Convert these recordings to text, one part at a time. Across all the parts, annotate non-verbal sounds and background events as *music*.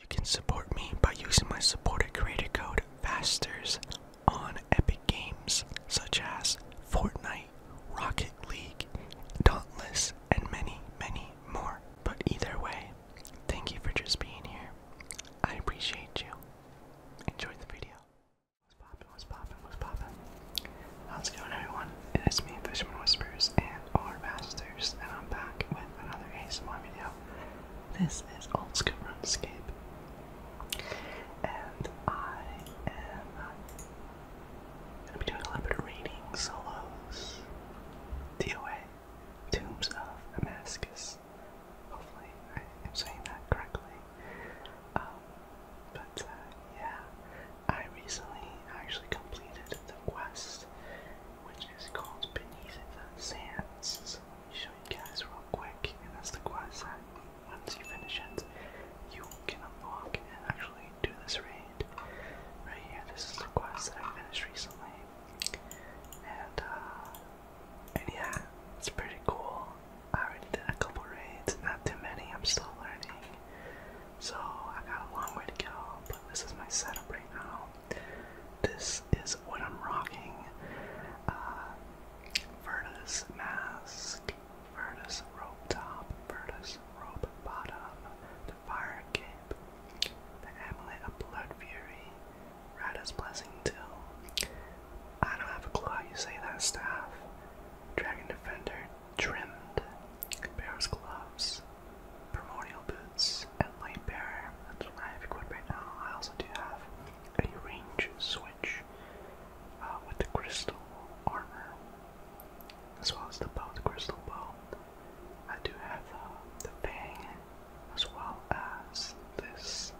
You can support me by using my supporter creator code FASTERS on Epic Games such as Fortnite, Rocket League, Dauntless, and many, many more. But either way, thank you for just being here. I appreciate you. Enjoy the video. What's poppin', what's poppin', what's poppin'? How's it going everyone? It's me, Fisherman Whispers and our Masters, and I'm back with another ASMR video. This is Old School RuneScape. And I am uh, gonna be doing a little bit of reading solos. DOA, Tombs of Damascus. Hopefully I am saying that correctly. Um, but uh, yeah, I recently actually completed the quest, which is called Beneath the Sands. So let me show you guys real quick, and that's the quest that once you finish it, you can unlock and actually do this raid. Right here, this is the quest that I finished recently. And uh and yeah, it's pretty cool. I already did a couple raids, not too many, I'm still learning. So I got a long way to go, but this is my setup right now. This is what I'm rocking. Uh, Vertus mask, Vertus rope top, Vertus rope bottom, the fire cape, the amulet of blood fury, Rada's blessing too. I don't have a clue how you say that staff. Dragon Defender trimmed, Bear's gloves, primordial boots, and light bearer. That's what I have equipped right now. I also do have a range switch uh, with the crystal armor, as well as the bow, the crystal bow. I do have uh, the fang, as well as this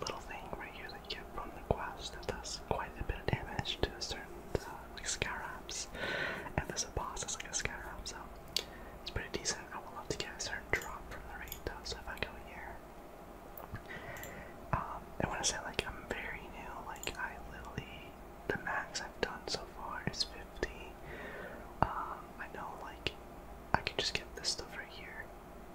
little thing right here that you get from the quest that does quite a bit of damage to certain uh, like scarabs. And there's a boss that's like a scarab, so it's pretty decent. I would love to get a certain drop from the raid though, so if I go here. Um, I want to say like I'm very new, like I literally, the max I've done so far is 50. Um, I know like I can just get this stuff right here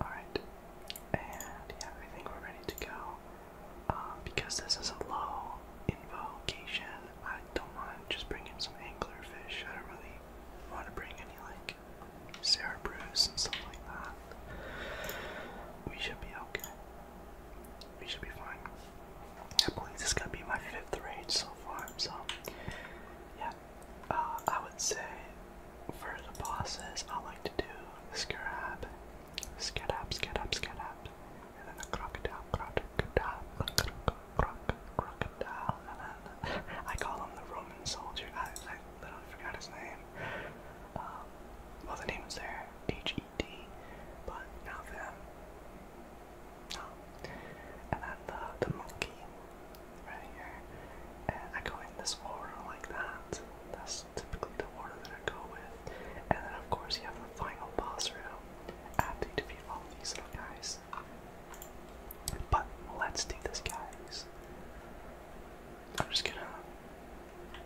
Alright, and yeah, I think we're ready to go. Um, because this is a low invocation, I don't want to just bring in some anglerfish. I don't really want to bring any like Sarah Bruce and stuff like that. We should be okay. We should be fine. I believe this is gonna be my fifth raid so far, so yeah, uh, I would say for the bosses, I like to do Scarab, Scarab, Scarab, Scarab, and then the Crocodile, Crocodile, Crocodile, Crocodile, and then I call him the Roman soldier. I, I literally forgot his name. Um, well, the name was there, H E D, but not them. No. Um, and then the, the monkey, right here. And I go in this order like that. That's typically the order that I go with. And then of course you have the final boss room after you defeat all these little guys. But let's do this guys. I'm just gonna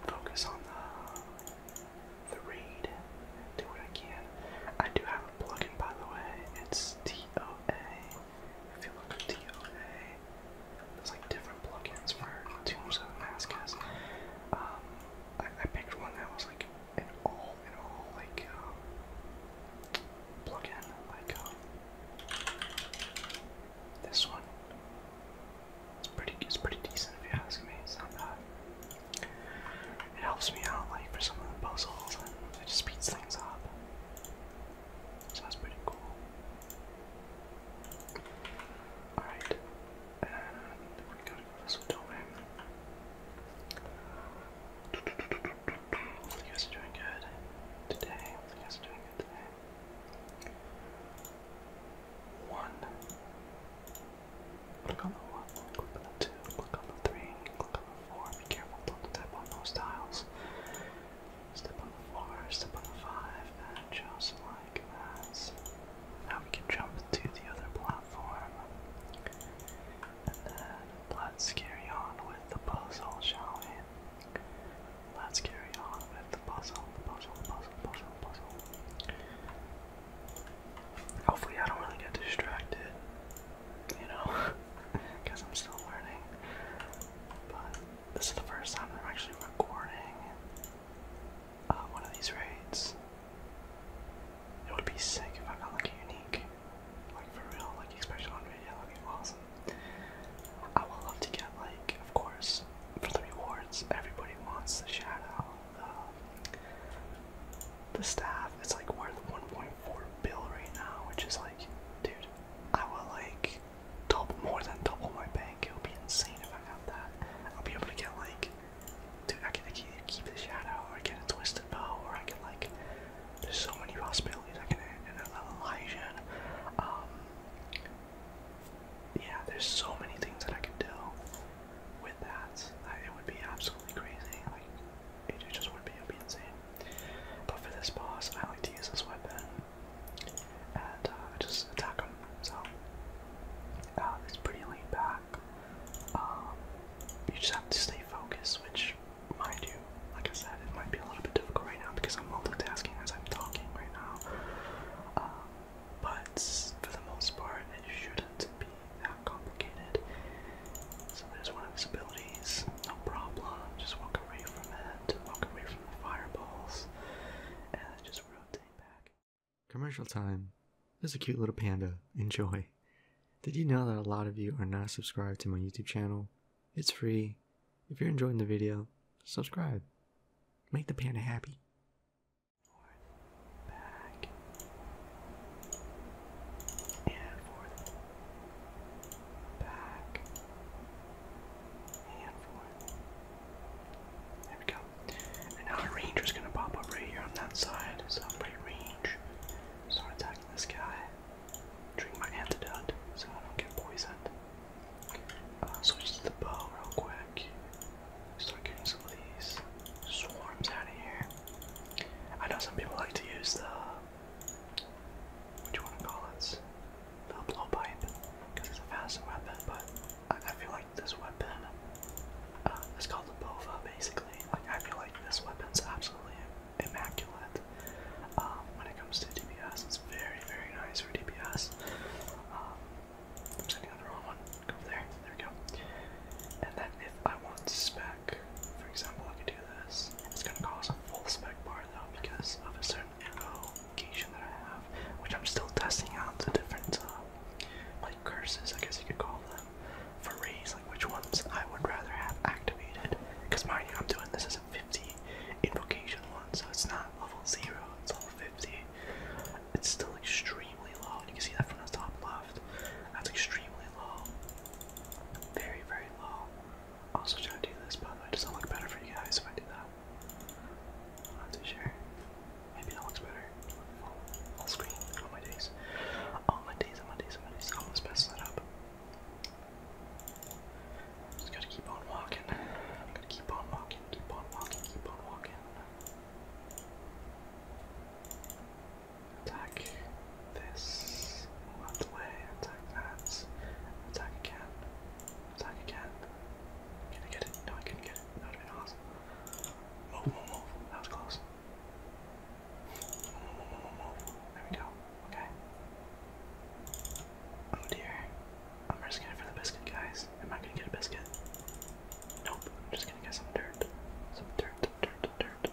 focus on the the raid. Do what I can. I do have a plugin by the way. It's T O A if you look at DOA, there's like different plugins for Tombs of Um, I, I picked one that was like an all in all like um, plugin, like um, this one. It's pretty. It's pretty decent if you ask me. It's not bad. It helps me out like for some of the puzzles and it just speeds things up. So that's pretty cool. Alright, and we go to this domain. Hopefully you guys are doing good today. Hopefully you guys are doing good today. One. Click on the one, click on the two, click on the three, click on the four. Be careful, don't tap on those tiles. Step on the four, step on the five, and just like that. Now we can jump to the other platform. And then let's carry on with the puzzle, shall we? Let's carry on with the puzzle, puzzle, puzzle, puzzle, puzzle. Hopefully I don't really get distracted you know, because *laughs* I'm still learning. But this is the first time I'm actually recording uh, one of these raids. It would be sick if I got like a unique, like for real, like especially on video, that'd be awesome. I would love to get like, of course, for the rewards, everybody wants the shadow. Uh, the staff, it's like worth point bill right now, which is like, dude, I will like double more than double my bank. It would be insane if I got that. I'll be able to get like, dude, I can keep the shadow or get a twisted bow, or I can like, there's so many possibilities. I can end an Elijah. And, um, yeah, there's so many things that I can do with that. it would be absolutely crazy it, just would be, it would insane. But for this boss, I like to use this weapon and uh, just attack him. So uh, it's pretty laid back. Um, you just have to stay focused, which, mind you, like I said, it might be a little bit difficult right now because I'm multitasking as I'm talking right now. Um, but for the most part, it shouldn't be that complicated. So there's one of his abilities, no problem. Just walk away from it, walk away from the fireballs, and just rotate back. Commercial time. There's a cute little panda. Enjoy. Did you know that a lot of you are not subscribed to my YouTube channel? It's free. If you're enjoying the video, subscribe. Make the panda happy back, and forth. There we go. And now our ranger's gonna pop up right here on that side, so I'm range. Start attacking this guy. Drink my antidote so I don't get poisoned. Uh, switch to the bow real quick. Start getting some of these swarms out of here. I know some people like to use the what do you want to call it? A blowpipe, it's a fast weapon, but I, feel like this weapon, uh, called the Bova basically. Like, I feel like this weapon's absolutely immaculate. Um, when it comes to DPS, it's very, very nice for DPS. Um, I'm one. Go there. There we go. And then if I want spec, for example, I could do this. It's gonna cause a full spec bar though because of a certain invocation that I have, which I'm still testing out the different uh, like curses, I guess you could call them, for rays, like which ones I would rather have activated. Because mind you, I'm doing this as a 50 invocation one, so it's not level zero, it's level 50. It's still extremely low. You can see that from the top left. That's extremely low. Very, very low. Also trying to do this, by the way. Does that look better for you guys if I do that? am not too sure. Maybe that looks better. Full my days. On my days, on my days, on my days. Almost messed that up. Just gotta keep on walking. i gonna keep on walking, keep on walking, keep on walking. Attack this, run away, attack that, attack again, attack again. Can I get it? No, I couldn't get it. That would have been awesome. Move, oh, move, move. That was close. Move, move, move, move. There we go. Okay. Oh dear. I'm risking it for the biscuit, guys. Am I gonna get a biscuit? Nope. I'm just gonna get some dirt. Some dirt, dirt, dirt.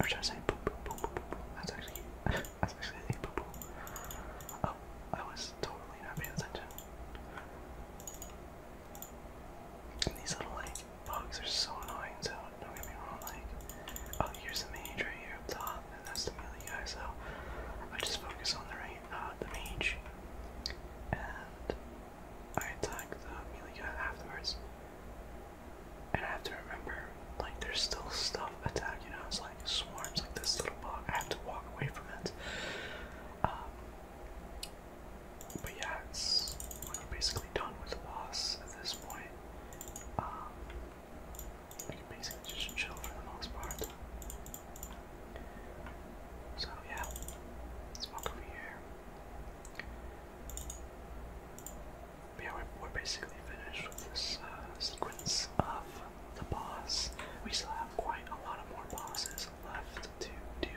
Or should I say poop, poop, poop, poop, poop? That's actually. *laughs* That's actually a poo poo. Oh, I was totally not paying attention. these little like bugs are so annoying. So don't get me wrong. Like, oh, here's the mage right here up top, and that's the melee guy. So I just focus on the right, uh, the mage, and I attack the melee guy afterwards. And I have to remember, like, there's still stuff attacking us. Like, swarms like this little bug. I have to walk away from it. Um, but yeah, it's basically done with the boss at this point. Um, we can basically just chill for the most part. So yeah, let's walk over here yeah, we're, basically finished with this uh, sequence of the boss. We still have quite a lot of more bosses left to do.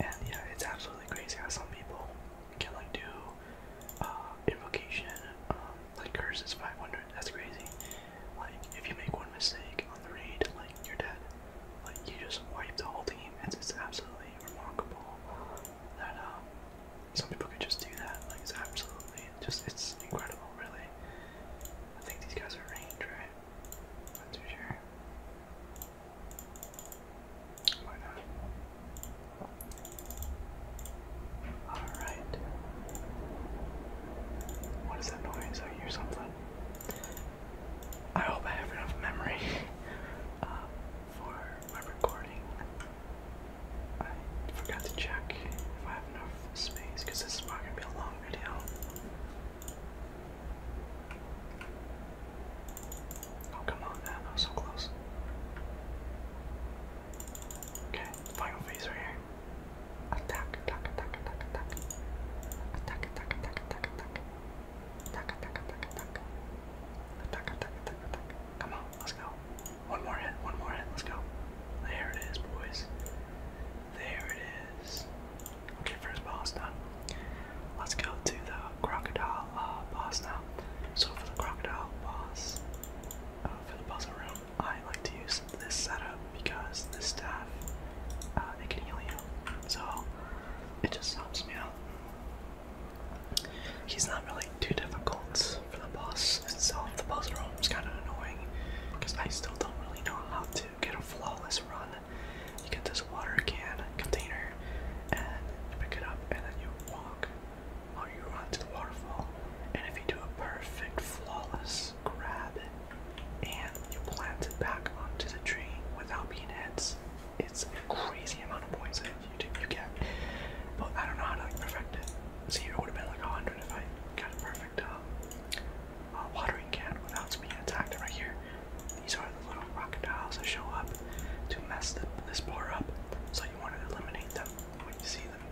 And yeah, it's absolutely crazy how some people can like do uh, invocation, um, like curses 500. That's crazy. Like, if you make one mistake on the raid, like, you're dead. Like, you just wipe the whole team. It's, it's absolutely remarkable that, um, some people could just do that. Like it's absolutely just it's incredible, really. I think these guys are range, right? not too sure. Why not? Alright. What is that noise? I hear something. I hope I have enough memory. *laughs* Um, for my recording. I forgot to check if I have enough space because this is probably going to be a long video. Oh, come on, man. so close. Okay, final phase right here. attack. Attack, attack, attack, attack, attack. Attack, attack, attack, attack. Attack, attack, attack, attack. Come on, let's go. One more hit, one more hit, let's go. There it is, boys. There it is. Okay, first boss done. Let's go to the crocodile uh, boss now. So for the crocodile boss, uh, for the puzzle room, I like to use this setup because this staff, uh, it can heal you. So it just helps me out. He's not really too difficult for the boss itself. The boss room is kind of annoying because I still don't really know how to get a flawless run. You get this water can container and you pick it up and then you walk or you run to the waterfall. And if you do a perfect flawless grab and you plant it back onto the tree without being hit, it's a crazy amount of points that you do, you get. But I don't know how to like, perfect it. See, it would have been like 100 if I got a perfect um, watering can without being attacked right here. These are the little crocodiles that show up to mess this boar up. So you want to eliminate them when you see them.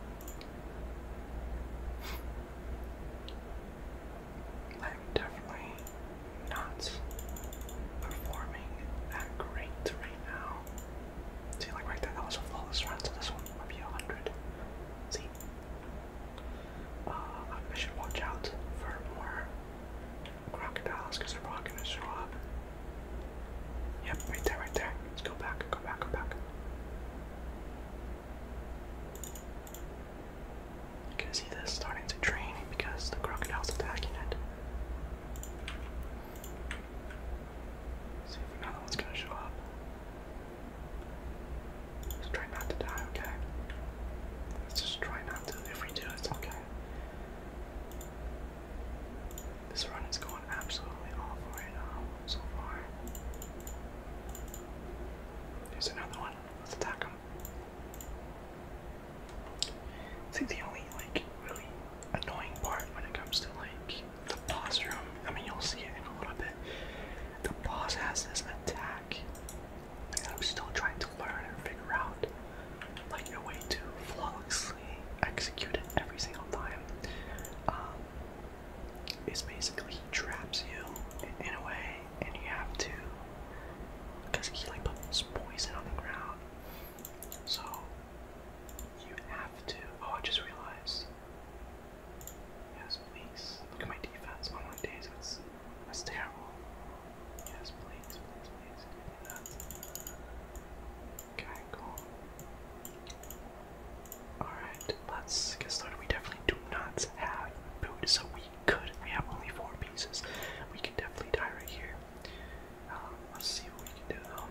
I'm definitely not performing that great right now. See, like right there, that was flawless so this one might be 100. See? Uh, I should watch out for more crocodiles because they're probably going to show up. Yep, right there, right there. Let's go back, go back, go back. You can see this starting to drain because the crocodile's attacking it. See if another one's gonna show up. Let's try not to die, okay? Let's just try not to. If we do, it's okay. This run is going absolutely awful right now so far. There's another one. Let's attack him. See, the only like really annoying part when it comes to like the boss room, I mean, you'll see it in a little bit. The boss has this attack, and I'm still trying to learn and figure out like a way to flawlessly execute it every single time. Um, it's basically he traps you in a way, and you have to because he like puts poison on the ground. So you have to. Oh, I just realized. Yes, please. Look at my defense. On oh, my days, that's that's terrible. Yes, please, please, please. Okay, cool. Alright, let's get started. We definitely do not have food, so we could. We have only four pieces. We could definitely die right here. Um, let's see what we can do though.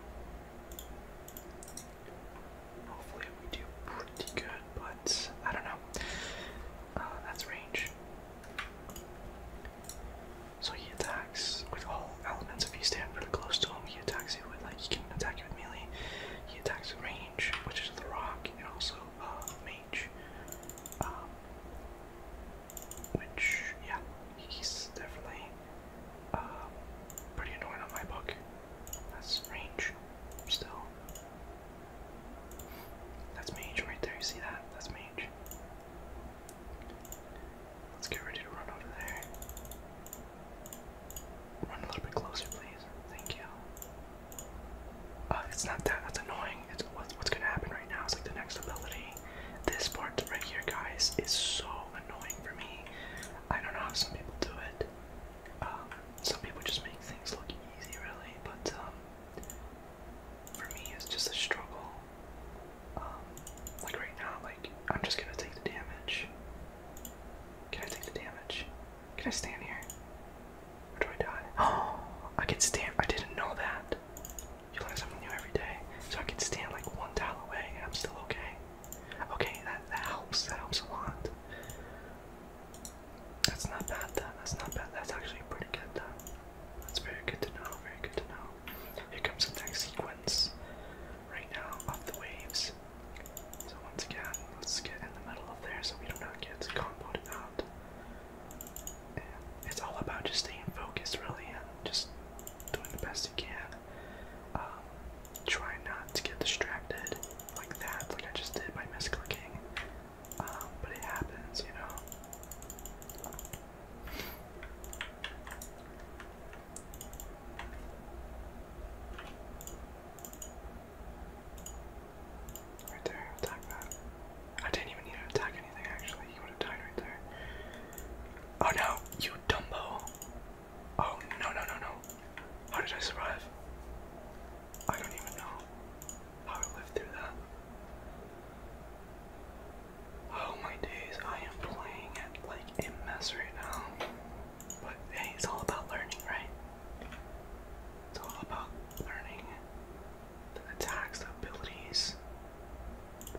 Hopefully we do pretty good, but I don't know. Uh, that's range. So he attacks with all elements. If you stand pretty close to him, he attacks you with like he can attack you with melee. He attacks with range, which is the rock, and also uh, mage. Um, which yeah, he's definitely um, pretty annoying on my book. That's range still. That's mage right there. You see that? That's mage. Let's get ready to run over there. Run a little bit closer, please. Thank you. Uh, it's not that. That's annoying. It's what's, what's gonna happen right now It's like the next ability. This part right here, guys, is so annoying for me. I don't know how some people do it. Um, some people just make things look easy, really, but um, for me, it's just a struggle. Um, like right now, like I'm just gonna take the damage. Can I take the damage? Can I stand here? do I die? Oh, *gasps* I can stand. I didn't know that. You learn something new every day. So I can stand like one tile away and I'm still okay. Okay, that, that helps. That helps a lot. That's not bad then. That's not bad. That's actually pretty good then. That's very good to know. Very good to know. Here comes the next sequence right now of the waves. So once again, let's get in the middle of there so we do not get comboed out. it's all about just staying focused really and just doing the best you can um, try not to get distracted like that, like I just did by misclicking. Um, but it happens, you know. Right there, attack that. I didn't even need to attack anything actually. He would have died right there. Oh no, you Dumbo! Oh no no no no! How did I survive? I don't even know how I lived through that. Oh my days, I am playing at like a mess right now. But hey, it's all about learning, right? It's all about learning the attacks, the abilities,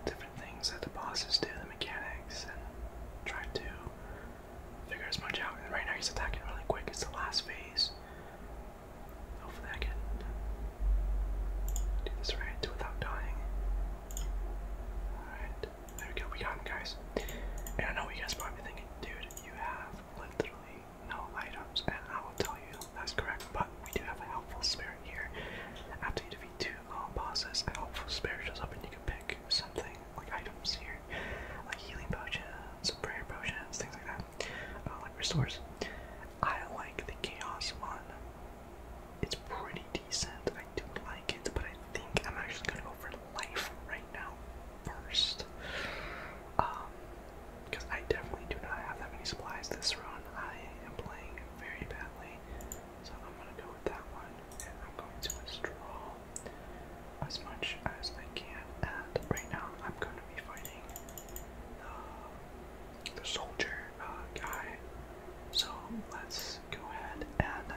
different things that the bosses do, the mechanics, and try to figure as much out. And right now he's attacking really quick. It's the last phase. Hopefully I can do this right without dying. Alright, there we go, we got him guys. And I know what you guys are probably thinking, dude, you have literally no items, and I will tell you that's correct, but we do have a helpful spirit here. After you defeat two um, bosses are helpful spirituals up, and you can pick something like items here, like healing potions, prayer potions, things like that, uh, like restores. I like the chaos one. It's pretty decent. I do not like it, but I think I'm actually gonna go for life right now first. Um, because I definitely do not have that many supplies this run. I am playing very badly. So I'm gonna go with that one, and I'm going to withdraw as much as I can. And right now, I'm gonna be fighting the, the soldier uh, guy. So let's go ahead and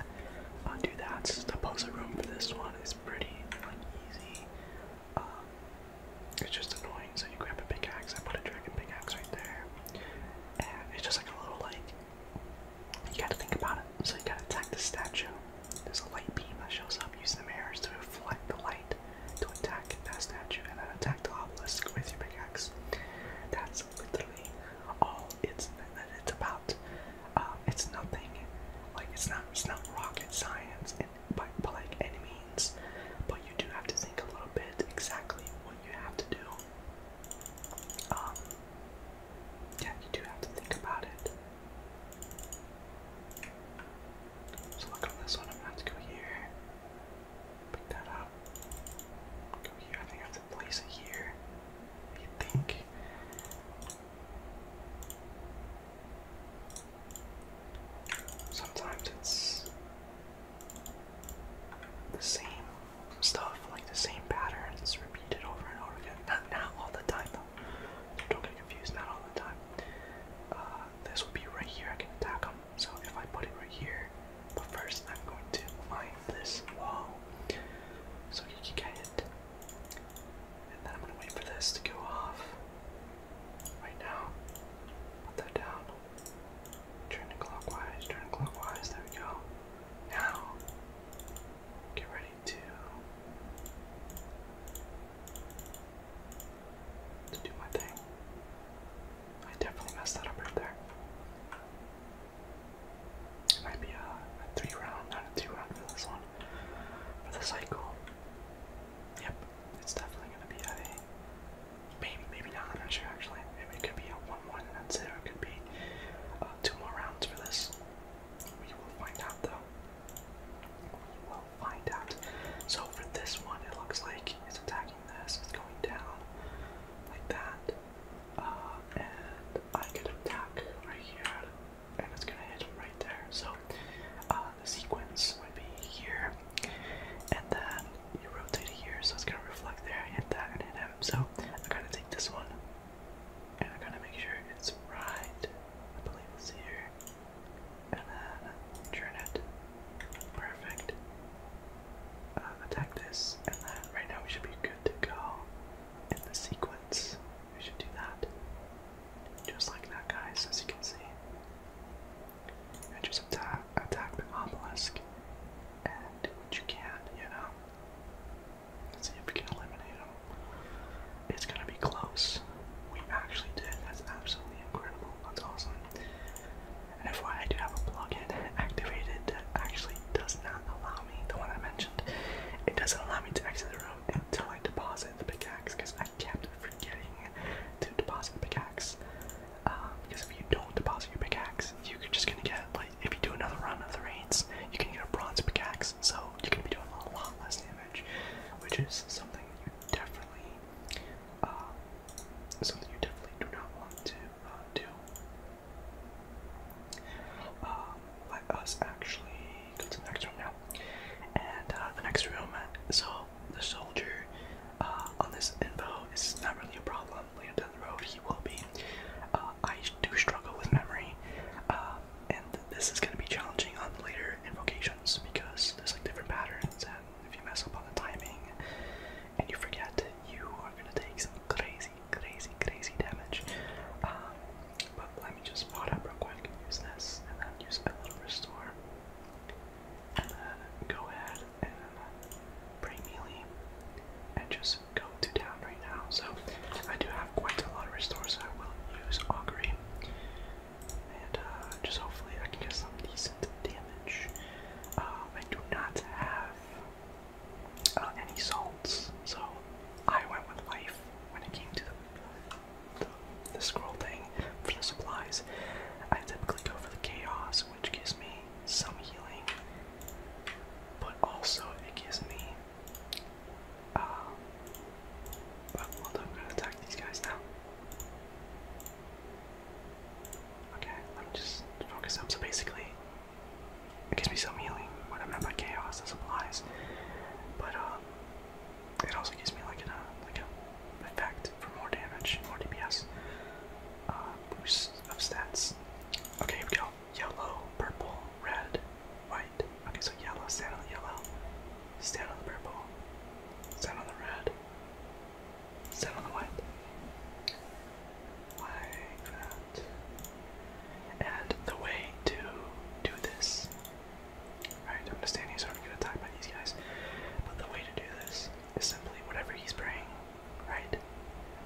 uh, do that. pose puzzle room for this one is pretty easy. Um, it's just annoying. So you grab a pickaxe. I put a dragon pickaxe right there, and it's just like a little like you gotta think about it. So you gotta attack the statue. There's a light beam that shows up. Use the mirrors to reflect the light to attack that statue and then attack the obelisk with your pickaxe. That's literally all it's it's about. Um, it's nothing like it's not it's not rocket science and by, by like any means, but you do have to think a little bit exactly what you have to do um, yeah, you do have to think about it. So look on this one, I'm gonna go here. Pick that up. Go here, I think I have to place it here. You think? Sometimes it's the same stuff, like the same patterns repeated over and over again. Not, not all the time though. Don't get confused, not all the time. Uh, this would be right here, I can attack them. So if I put it right here, but first I'm going to mine this wall so he can get it. And then I'm gonna wait for this to go off. Right now, put that down. Turn clockwise, turn clockwise, there we go. Now, get ready to, do my thing. I definitely messed that up right there. It might be a, three round, not a two round this one. For the cycle. Yep, it's definitely gonna be a Maybe, maybe not. I'm not sure actually. Maybe it could be a one-one and that's it. it could be uh, two more rounds for this. We will find out though. We will find out. So for this one, it looks like it's attacking this. It's going down like that. Uh, and I could attack right here, and it's gonna hit right there. So uh, the sequence would be here, and then you rotate it here, so it's gonna reflect there, hit that, and hit him. So I gotta take this one, and I gotta make sure it's right. I believe it's here, and then turn it. Perfect. Uh, attack this, and then right now we should be good to go. In the sequence, we should do that, just like that, guys. As you can see, and just attack, attack the obelisk and you can, you know? Let's see if we can eliminate them. It's gonna be close. We actually did. That's absolutely incredible. That's awesome. And FYI, I do have a plugin activated that actually does not allow me, the one I mentioned, it doesn't allow me to exit the room until I deposit the pickaxe because I kept forgetting to deposit the pickaxe. Um, because if you don't deposit your pickaxe, you're just gonna get like if you do another run of the raids, you can get a bronze pickaxe, so you're gonna be doing a lot less damage, which is something you definitely, um, something you definitely do not want to uh, do. Um, let us actually go to the next room now, and uh, the next room. So the soldier uh, on this info is not really a problem later down the road he will be. Uh, I do struggle with memory, um, and this is going to be challenging on later invocations because there's like different patterns, and if you mess up on the timing and you forget, you are going to take some crazy, crazy, crazy damage. Um, but let me just pot up real quick, use this, and then use a little restore. And then go ahead and Bramealy and just go to town right now. So I do have quite a lot of restores, so I will use Augury. And uh, just hopefully I can get some decent damage. Um, I do not have uh, any salts, so I went with life when it came to the, the, the scroll thing for the supplies. I typically go for the chaos, which gives me some healing, but also it gives me. Uh, well, hold gonna attack these guys now. Okay, let me just focus up. So basically, it gives me some healing. What I meant by chaos is applies, but uh, it also gives me like an uh, like a effect for more damage, more DPS, uh, boost of stats. Okay, here we go yellow, purple, red, white. Okay, so yellow, stand on the yellow, stand on the purple, stand on the red, stand on the white. Like that. And the way to do this, right? I'm gonna stand here so I don't get attacked by these guys. But the way to do this is simply whatever he's praying, right?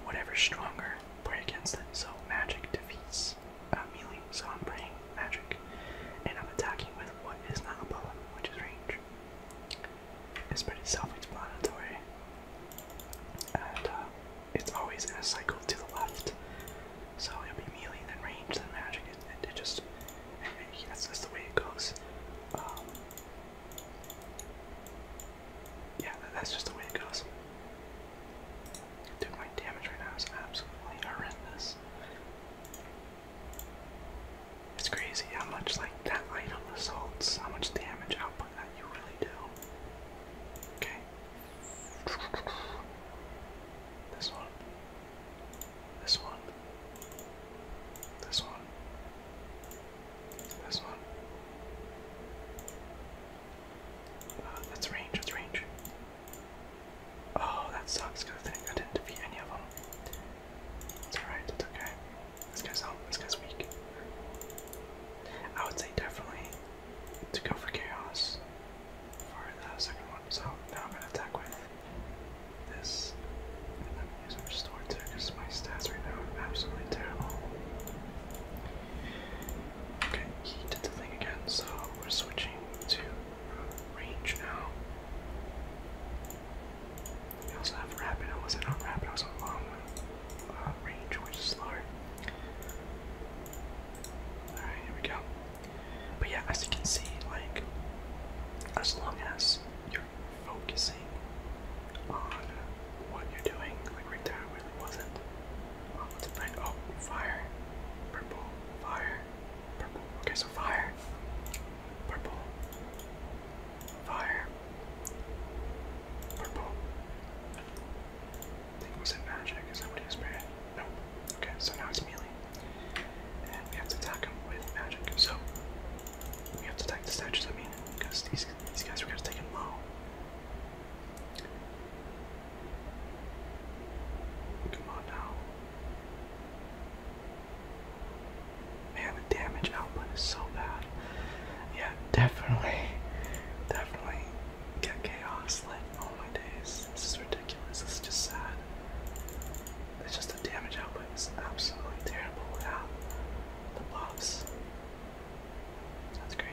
Whatever's stronger, pray against it. So magic defeats uh, melee. So I'm praying magic, and I'm attacking with what is not a bullet, which is range. It's pretty self-explanatory, and uh, it's always in a cycle to the left. So it'll be melee, then range, then magic. It, it, just *laughs* that's, that's the way it goes. Um, yeah, that's just the way it goes. Dude, my damage right now is absolutely horrendous. It's crazy how much like that item results, how much damage output that you really do. Okay. This one. This one. This one. That's not. Uh, that's range, that's range. Oh, that sucks because I didn't defeat any of them. It's alright, it's okay. This guy's this guy's weak. I would say definitely to go for chaos for the second one. So now I'm gonna attack with this. And i because my stats right now are absolutely terrible. Okay, he did the thing again, so we're switching to range now. We also have rapid. I wasn't on rapid, I was on long uh, range, which is slower. Alright, here we go. But yeah, as you can see, like, as long as you're focusing on what you're doing. Like right there, I really wasn't. Oh, oh, fire. Purple. Fire. Purple. Okay, so fire. Purple. Fire. Purple. I think was magic? Is that what he Nope. Okay, so now it's melee. And we have to attack him with magic. So we have to attack the statues, I mean, because these, these guys were gonna take him low. Come on now. Man, the damage output is so bad. Yeah, definitely, definitely get chaos. Like, all my days, this is ridiculous. This is just sad. It's just the damage output is absolutely terrible without the buffs. That's crazy.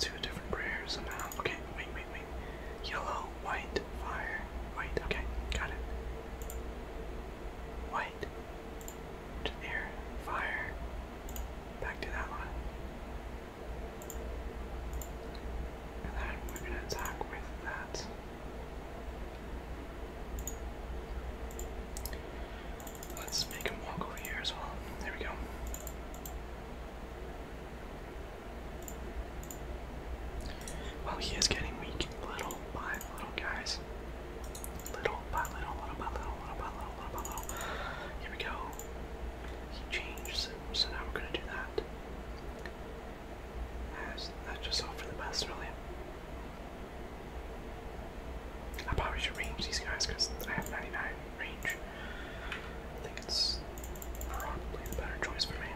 to a different prayer somehow. Okay, wait, wait, wait. Yellow, white, fire, white. Okay, got it. White, to fire. Back to that one. And then we're gonna attack with that. Let's make him walk over here as well. There we go. Well, he is getting weak little by little, guys. Little by little, little by little, little by little, little by little. Here we go. He changed, so, now we're gonna do that. That's, that's just all for the best, really. I probably should range these guys I have 99 range. I think it's probably the better choice for me.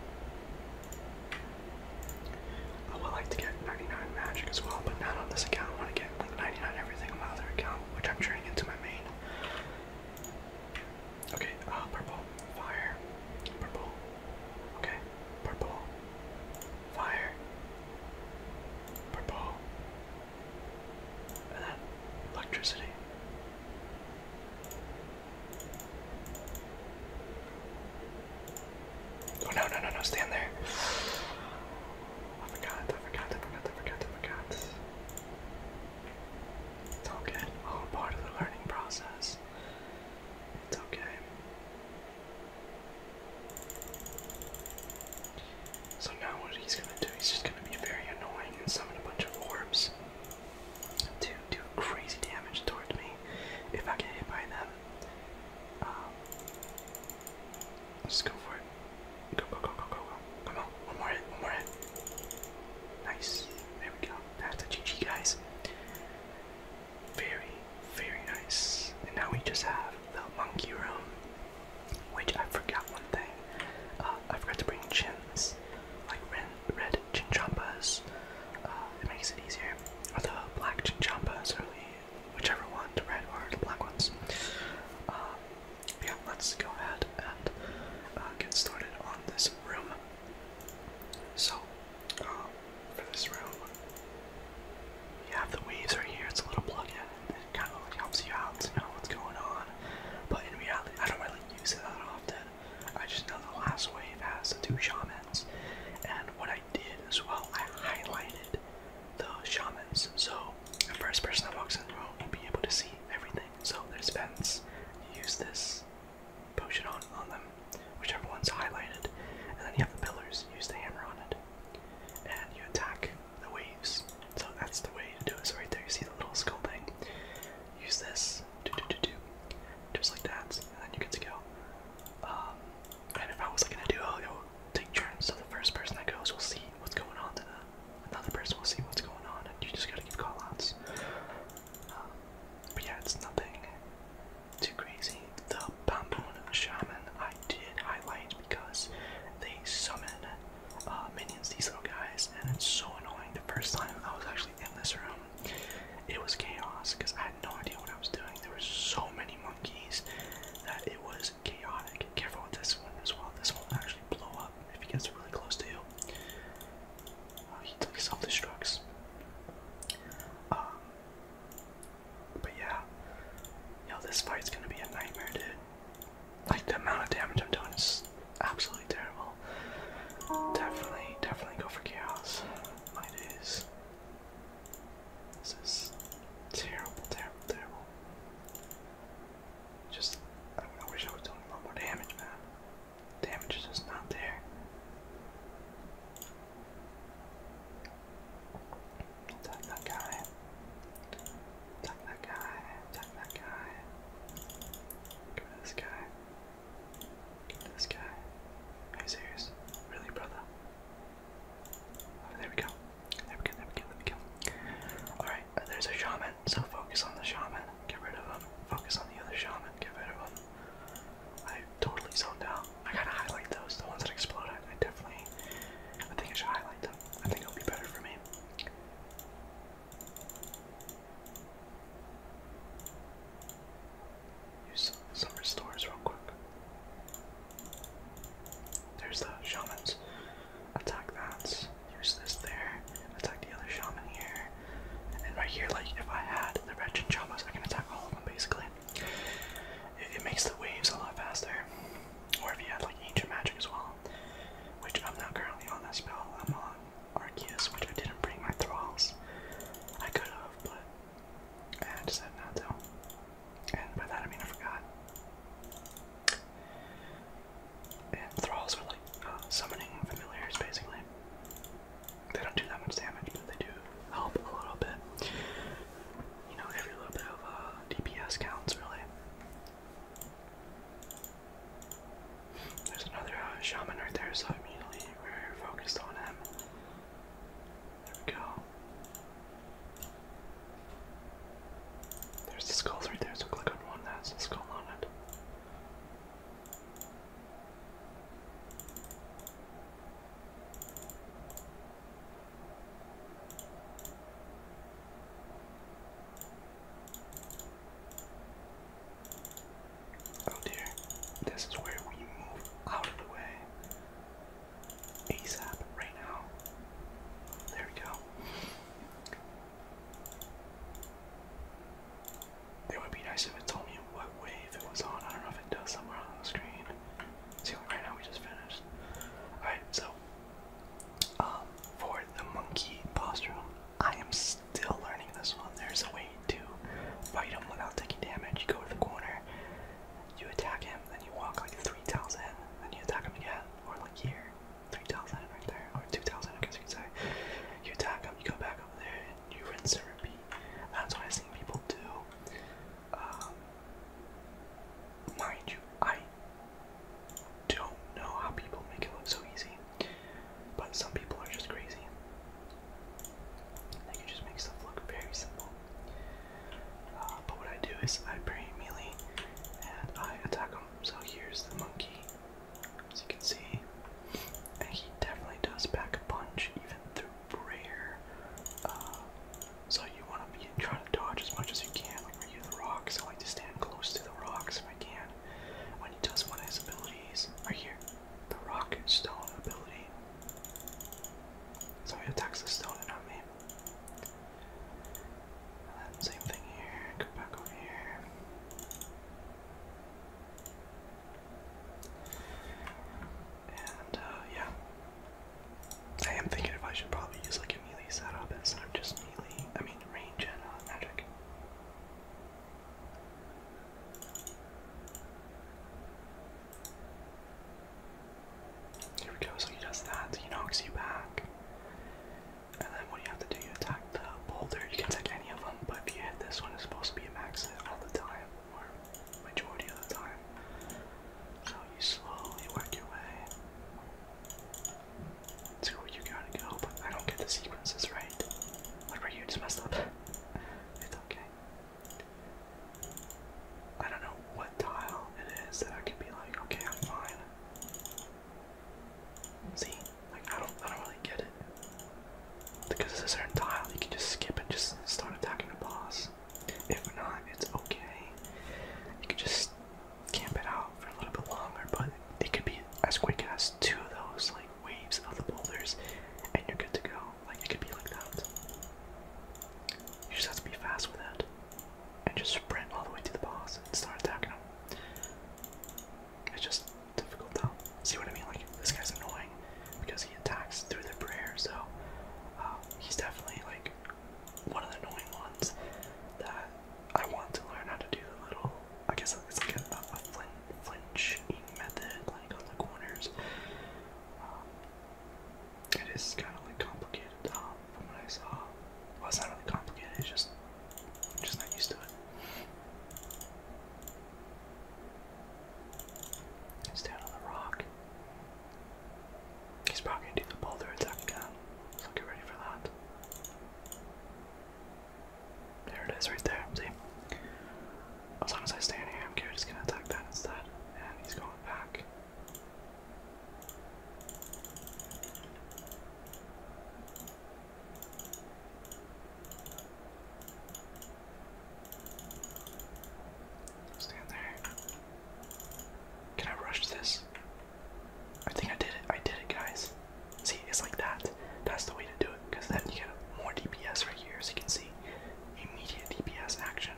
I would like to get 99 magic as well, but not on this account. I want to get. 99 everything on my account, which I'm turning into my main. Okay, uh, purple, fire, purple, okay, purple, fire, purple, and then electricity. Oh no, no, no, no, stand there. I forgot, I forgot, I forgot, I forgot, I forgot. It's okay. All part of the learning process. It's okay. So now what he's gonna do, he's just gonna be very annoying and summon a bunch of orbs to do crazy damage towards me if I get hit by them. Um, Let's go for it. Go, go, go, go, go, go. Come on. One more hit. One more hit. Nice. There we go. That's a GG, guys. Very, very nice. And now we just have the monkey room, which I forgot one thing. Uh, I forgot to bring chins, like red, red chinchambas. Uh, it makes it easier. Or the black chinchambas, really whichever one, red or black ones. Um, yeah, let's go ahead and uh, get started on this room. So, um, for this room, you have the waves right here. It's a little plug-in. kind of helps you out to know what's going on. But in reality, I don't really use it that often. I just know the last wave has the two shamans. And what I did as well, I highlighted the shamans. So the first person that walks in the room will be able to see everything. So there's vents. You use this potion on, on them, whichever one's highlighted, and then you have the pillars. use the hammer on it, and you attack the waves. So that's the way to do it. So right there, you see the little skull thing. Use this, do do do do, just like that, and then you get to go. Um, and if I was like in a take turns, so the first person that goes will see what's going on to them. Uh, another person will see what's going on, and you just gotta give callouts. Um, but yeah, it's nothing too crazy. The Bamboo Shaman I did highlight because they summon uh, minions, these little guys, and it's so annoying. The first time I was actually in this room, it was chaos because I had no idea what I was doing. There were so many monkeys, that it was chaotic. Careful with this one as well. This one will actually blow up if he gets really close to you. Uh, he took self-destructs. Um, but yeah, yo, this fight's gonna be a nightmare, dude. Like the amount of damage I'm doing is absolutely terrible. Definitely, definitely go for chaos. This is terrible, terrible, terrible. Just, I, I wish I was doing a lot more damage, man. Damage is just not there. Attack that guy. Attack that guy. Attack that guy. Give me this guy. Give me this guy. Are you serious? Really, brother? Oh, there we go. There we go, there we go, there we go. Alright, uh, there's a shaman, so focus on the shaman. Get rid of him. Focus on the other shaman. Get rid of him. I totally zoned out. I kind of highlight those, the ones that explode. I, definitely, I think I should highlight them. I think it'll be better for me. Use some, some restores real quick. There's the shamans. Attack that. Use this there. Attack the other shaman here. And right here, like if I had the wretched chamas, I can attack all of them basically. It, it makes the waves a lot faster. Or if you had like ancient magic as well. Which I'm not currently on that spell. I'm on Arceus, which I didn't bring my thralls. I could have, but I decided not to. And by that I mean I forgot. And thralls are like uh, summoning familiars basically. They don't do that much damage, but they do help a little bit. You know, every little bit of uh, DPS counts really. There's another uh, shaman right there, so immediately we're focused on him. There we go. There's the skulls right there, so click on one that has a skull on it. Oh dear, this is where we move out of the way. ASAP right now. There we go. It would be nice if it told me what wave it was on. I don't know if it does somewhere on the screen. See, right now we just finished. Alright, so um, for the monkey posture, I am still learning this one. There's a way to fight him without taking damage. You go to the corner, you attack him, then you walk like three tiles in, then you attack him again, or like here, 3,000 right there, or 2,000 I guess you could say. You attack them, you go back over there, and you rinse and repeat. That's what I've seen people do. Um, mind you, I don't know how people make it look so easy, but some people are just crazy. They can just make stuff look very simple. Uh, but what I do is I bring melee and I attack him. So here's the monkey, as you can see. And he definitely does back a punch even through prayer. so you want to be trying to dodge as much as you can. Like when the rocks, I like to stand close to the rocks if I can. When he does one of his abilities, right here, the rock stone ability. So he attacks the stone and me same thing here, go back over here. And uh, yeah, I am thinking if I should probably use like a melee setup instead of just melee, I mean range and uh, magic. Here we go, so he does that, he knocks you back. And then what do you have to do? You attack the boulder. You can take any of them, but if you hit this one, it's supposed to be a max hit all the time, or majority of the time. So you slowly work your way to you gotta go, but I don't get the sequences right. Like right here, just messed up. it's okay. I don't know what tile it is that I could be like, okay, I'm fine. See, like I don't, I don't really get it. Because it's a certain tile, you can just skip and just start attacking the boss. If not, it's okay. You can just camp it out for a little bit longer, but it could be as quick as two of those like waves of the boulders, and you're good to go. Like it could be like that. You just have to be fast with it and just sprint all the way to the boss and start attacking him. It's just difficult though. See what I mean? Like this guy's annoying because he attacks through the prayer, so uh, he's definitely like one of the annoying ones that I want to learn how to do the little. I guess it's like a, flinch method, like on the corners. Um, it is kind of like complicated um, from what I saw. Well, it's not really complicated. It's just I'm just not used to it. It's on the rock. He's probably gonna do the boulder attack again. So get ready for that. There it is, right there. See? As long as I stay in here, I'm just gonna attack that instead. And he's going back. Stand there. Can I rush this? I think I did it. I did it, guys. See, it's like that. That's the way to do it, because then you get more DPS right here, as you can see. Immediate DPS action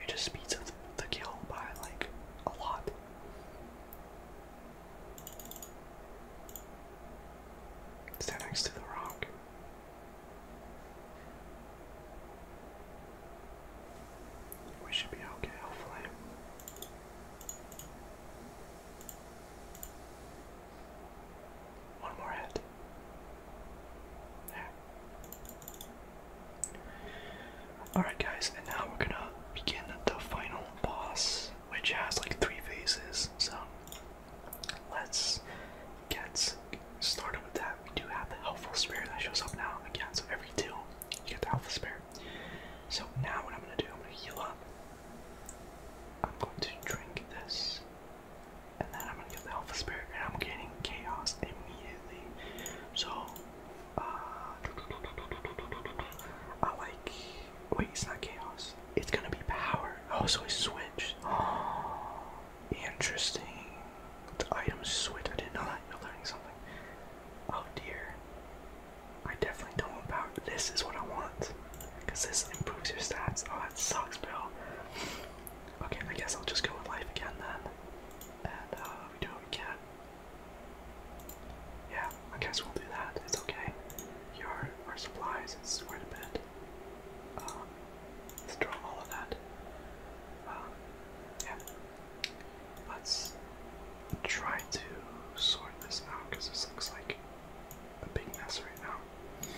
it just speeds up the kill by like a lot. Stand next to the rock. We should be okay, hopefully. One more hit. There. Alright, guys, and now we're gonna begin the final boss, which has like three phases. So let's get started with that. We do have the helpful spirit that shows up now again. So every two, you get the helpful spirit. So now what I'm gonna do, I'm gonna heal up. I'm going to drink this, and then I'm gonna get the Alpha Spirit, and I'm getting Chaos immediately. So uh, I like. Wait, it's not chaos. It's gonna be power. Oh, so I switched. Oh, *gasps* interesting. The items switch. I didn't know that. You're learning something. Oh dear. I definitely don't want power. This is what I want. Because this improves your stats. Oh, that sucks, bro. Okay, I guess I'll just go with life again then. And uh, do what we yeah, I guess we'll do that. It's okay. Here our supplies. It's quite a bit. Um, let's draw all of that. Um, yeah. Let's try to sort this out because this looks like a big mess right now.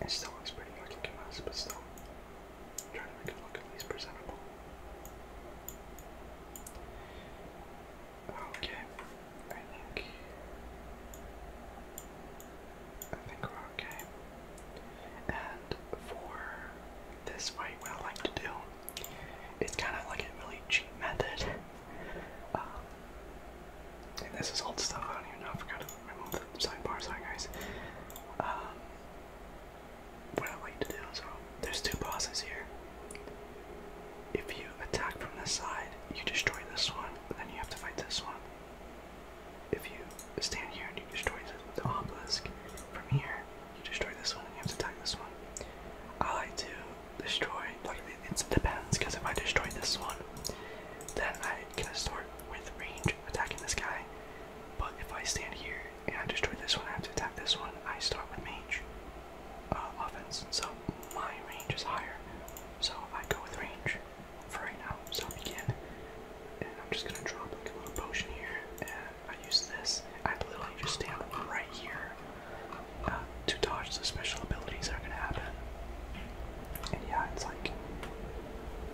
It still looks pretty fucking mess, but still. I'm trying to make it look at least presentable. Okay, I think I think we're okay. And for this fight, what I like to do, it's kind of like a really cheap method. Um, and this is old stuff. I don't even know if I forgot to remove the sidebar. Sorry, guys. Um, what I like to do is, there's two bosses here. If you attack from this side, you destroy this one, but then you have to fight this one. If you stand here and you destroy the, obelisk from here, you destroy this one and you have to attack this one. I like to destroy, it depends, because if I destroy this one, then I can start with range attacking this guy. But if I stand here I destroy this one, I have to attack this one. I start with mage uh, so my range is higher. So I go with range for right now. So I begin, and I'm just gonna drop a little potion here, and I use this. I literally just stand right here uh, to dodge the special abilities that are gonna happen. And yeah, it's like,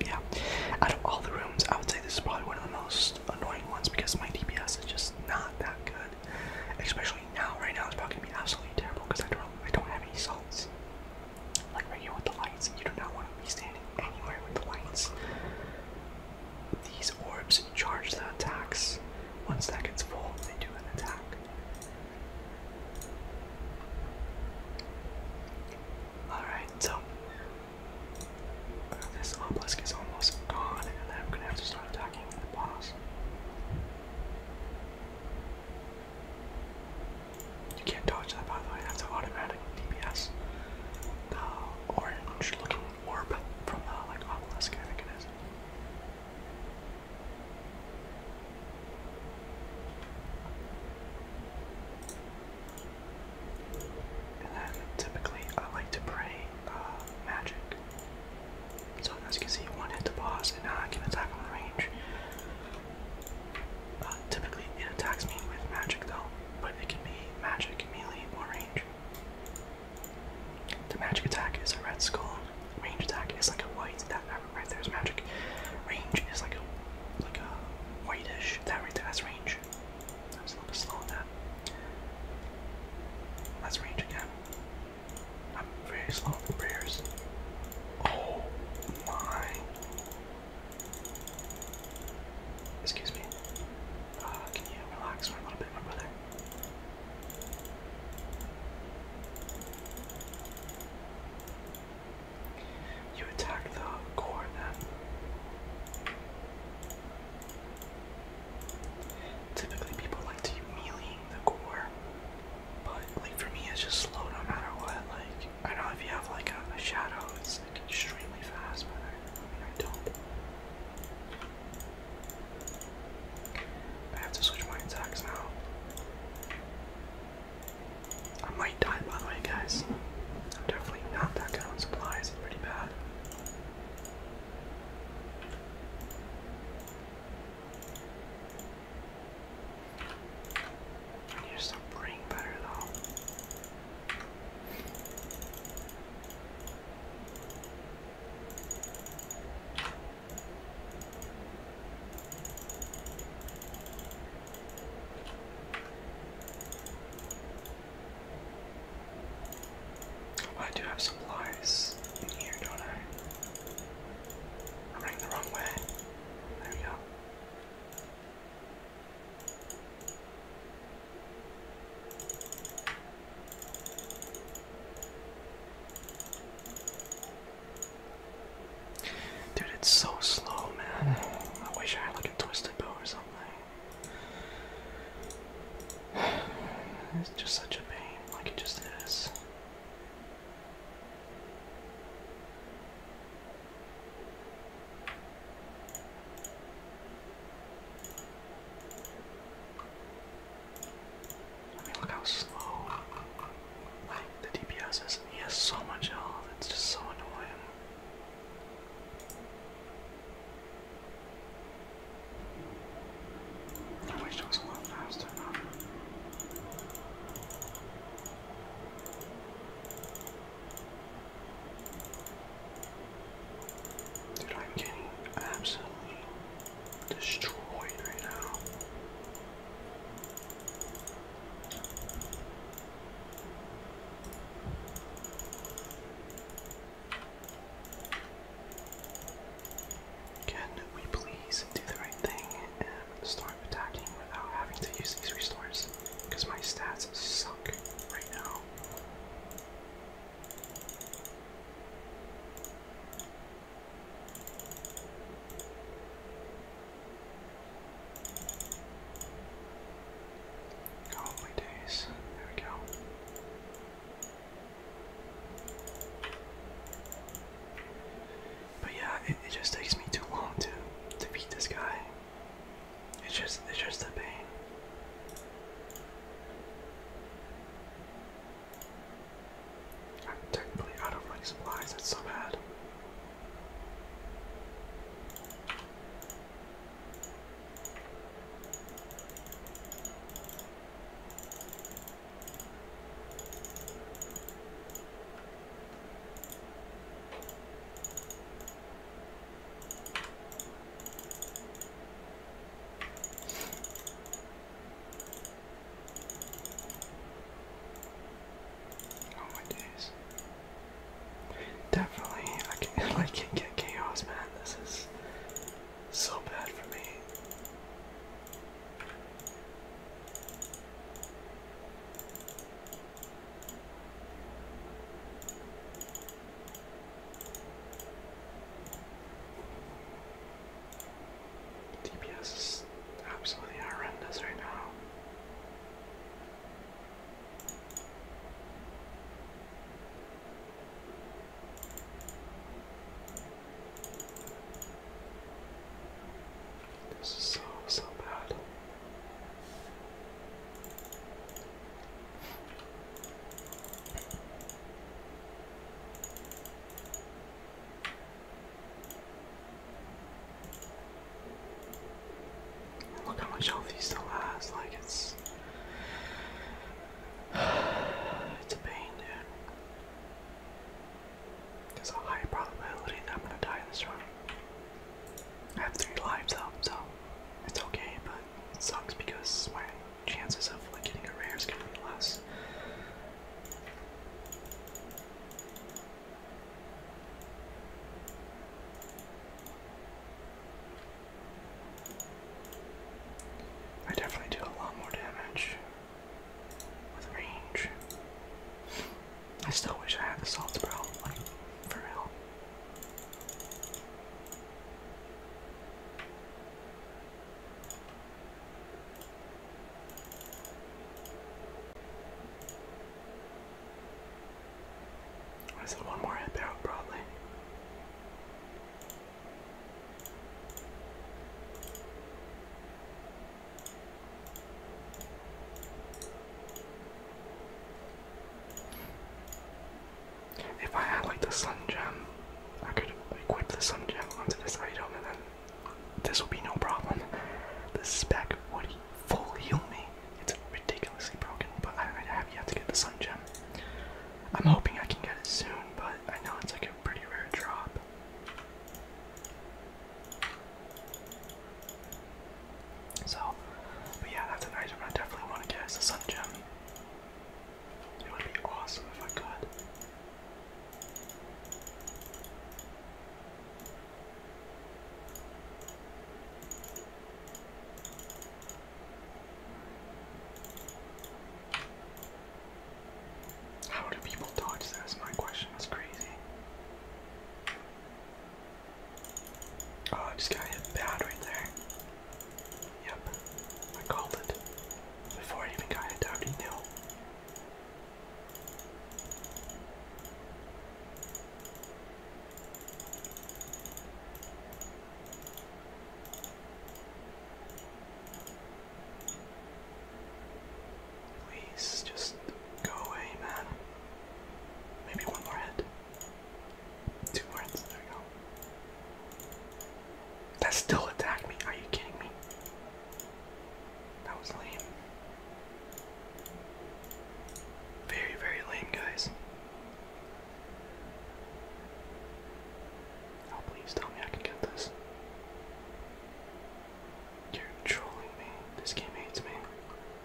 yeah. Out of all the rooms, I would say this is probably one of the most annoying ones because my DPS is just not that good. Especially now, right now it's probably gonna be absolutely terrible because I don't I don't have any salts. Like right here with the lights, you do not want to be standing anywhere with the lights. These orbs charge the attacks. Once that gets full, they do an attack. Alright, so this obelisk is almost gone, and I'm gonna have to start attacking the boss. You can't dodge that, by the way. That's an automatic DPS. The orange-looking orb from the like obelisk, I think it is. And then typically I like to pray uh, magic. So as you can see, one hit the boss, and now I can attack on range. Uh, typically it attacks me with magic though, but it can be magic, melee, or range. The magic attack is a red skull. Range attack is like a white. That right there is magic. Range is like a like a whitish. That right there, range range. was a little bit slow on that. That's range again. I'm very slow on prayers. Oh my. Excuse me. Uh, can you relax a little bit, brother? You attack the core then. Typically, people like to melee the core, but like for me, it's just slow no matter what. Like I know if you have like a, shadow, it's extremely fast, but I, don't. I have to switch my attacks now. I might die by the way, guys. I'm definitely not that good on supplies, pretty bad. I need to praying better though. Oh, I do have supplies in here, don't I? i the wrong way. There we go. Dude, it's so slow, man. I wish I had like a twisted bow or something. It's just such a pain, like it just is. I mean, look how slow the DPS is. He has so much health. It's just so annoying. I wish it was a lot faster now. Dude, I'm absolutely destroyed right now. Can we please do the right thing and start attacking without having to use these restores? Because my stats suck right now. Holy oh, days. There we go. But yeah, it, just takes me too long to to beat this guy. It's just it's just a pain. I'm technically out of like supplies, that's so bad. Oh my days. Definitely I can like *laughs* can get chaos man, this is so bad for me. DPS is absolutely horrendous right now. This is so, so bad. Look how much health he still has, like it's *sighs* it's a pain, dude. There's a high probability that I'm gonna die this round. I have three lives up, so it's okay, but it sucks because my chances of like getting a rare is gonna less. I definitely do a lot more damage with range. I still wish I had the salt bro, like for real. I said one more hit out probably. If I had like the sun gem, I could equip the sun gem onto this item and then this would be no problem. This spec would full heal me. It's ridiculously broken, but I, I have yet to get the sun gem. I'm hoping I can get it soon, but I know it's like a pretty rare drop. So, but yeah, that's an item I definitely want to get is sun gem. It would be awesome if I could. How do people dodge that is my question. That's crazy. Oh, I just got hit bad right there. Yep, I called it. Before I even got hit, I already Please just go away, man. Maybe one more head. Two more heads, there we go. That still attacked me. Are you kidding me? That was lame. Very, very lame, guys. Oh, please tell me I can get this. You're trolling me. This game hates me.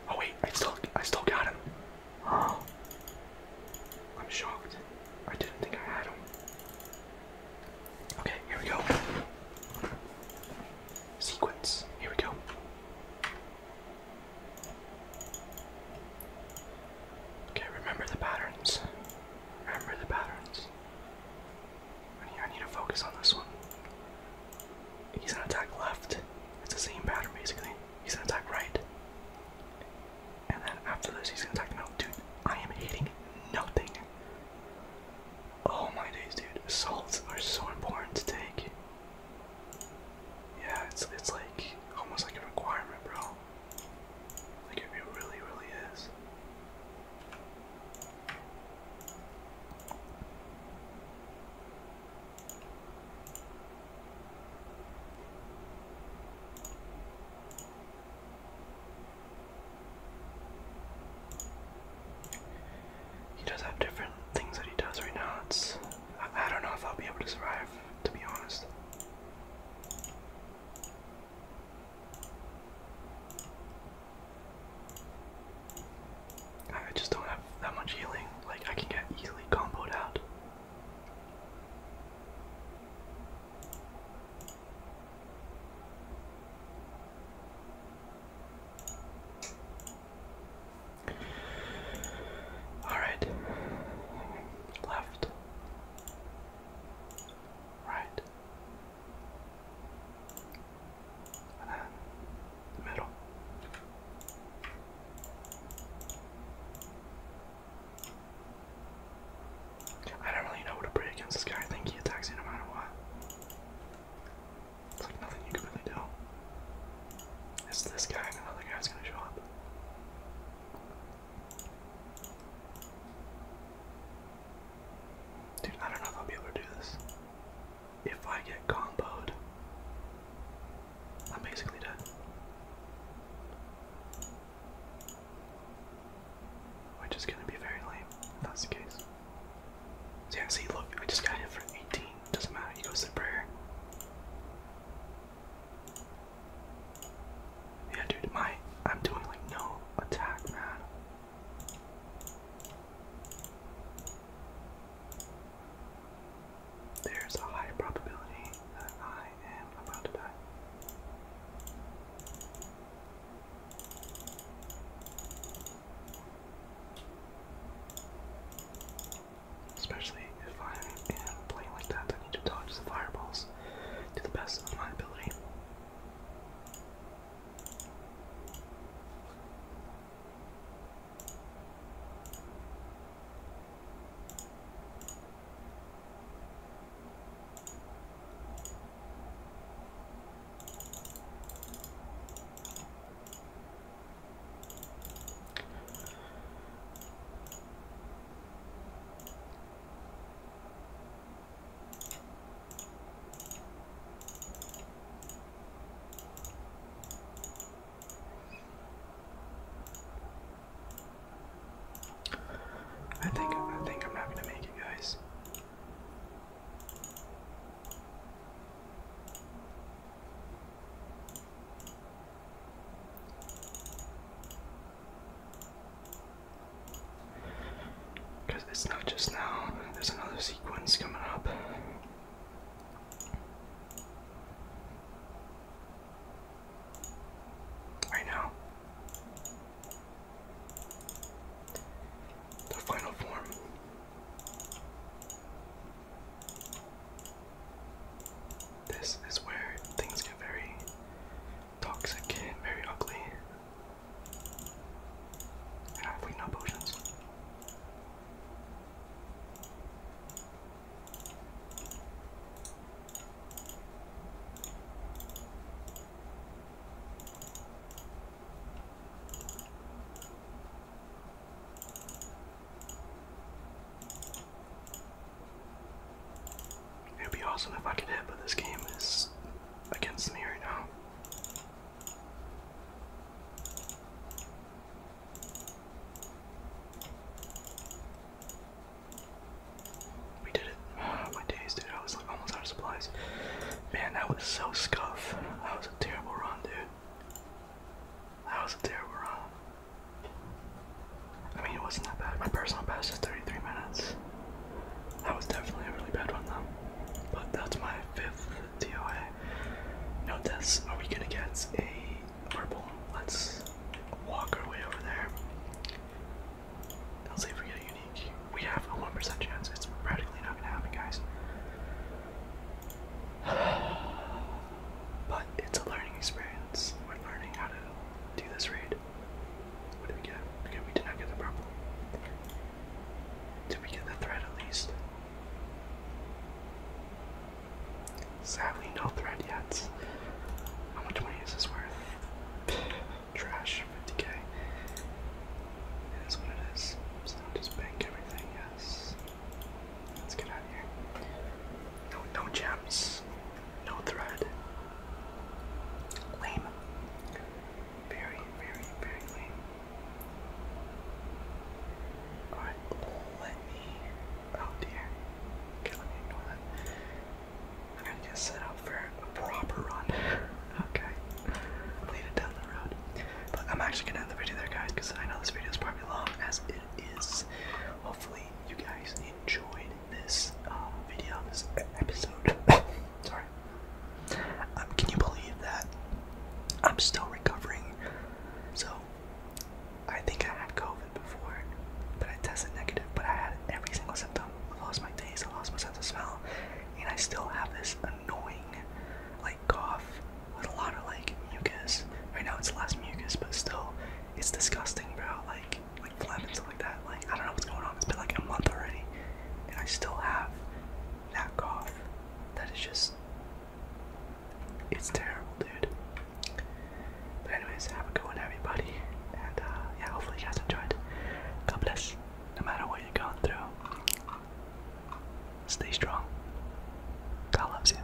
Oh wait, I still, I still got him. I'm shocked. I didn't think I had him. Okay, here we go. Sequence. Here we go. Okay, remember the patterns. Remember the patterns. I need to focus on this one. He's gonna attack left. It's the same pattern basically. He's gonna attack right. And then after this, he's gonna attack the Dude, I am hitting nothing. Oh my days, dude. Assaults are so important to take. Yeah, it's it's like almost like a requirement, bro. Like it really, really is. He does have different things that he does right now. It's I don't know if I'll be able to survive, to be honest. I just don't have that much healing. Like, I can get easily comboed out. Alright. Left right, and then middle. I don't really know what to put against this guy. I think he attacks you no matter what. It's like nothing you can really do. It's this guy and another guy's gonna show up. Dude, I don't know if I'll be able to do this. If I get comboed, I'm basically dead. Which is gonna be very lame if that's the case. So yeah, see, look, I just got hit for 18. Doesn't matter, he goes to prayer. Yeah, dude, my I'm doing like no attack, man. There's a high probability that I am about to die. Especially if I am playing like that, I need to dodge the fireballs to the best of my ability. I think I think I'm not gonna make you guys. Because it's not just now, there's another sequence coming up. Right now. The final form this is where things get very toxic and very ugly. And I have weak no potions. It would be awesome if I could hit, but this game is against me right now. We did it. *sighs* my days, dude. I was like almost out of supplies. Man, that was so scuff. That was a terrible run, dude. That was a terrible run. I mean, it wasn't that bad. My personal best is 33 minutes. That was definitely a really bad one, though. But that's my fifth DOA. No deaths. Are we gonna get a purple? Let's walk our way over there. Let's say we get a unique. We have a 1% chance. It's practically not gonna happen, guys. *sighs* But it's a learning experience. We're learning how to do this raid. What do we get? Okay, we did not get the purple. Did we get the thread at least? Sadly, no thread yet. How much money is this worth? Trash, 50k. It is what it is. So just bank everything, yes. Let's get out of here. No, no gems. No thread. Lame. Very, very, very lame. Alright, let me. Oh dear. Okay, let me ignore that. I'm going set up for a proper run. *laughs* okay. Lead it down the road. But I'm actually gonna end the video there, guys, because I know this video is probably long as it is. Hopefully, you guys enjoyed this um, video, this episode. *laughs* Sorry. Um, can you believe that I'm still recovering? So, I think I had COVID before, but I tested negative, but I had every single symptom. I lost my taste, I lost my sense of smell, and I still have this annoying, like, cough with a lot of, like, mucus. Right now it's less mucus, but still, it's disgusting, bro. Like, like flapping, something like that. Like I don't know what's going on. It's been like a month already, and I still have that cough. That is just it's terrible, dude. But anyways, have a good one, everybody, and uh, yeah, hopefully you guys enjoyed. God bless. No matter what you're going through, stay strong. God loves you.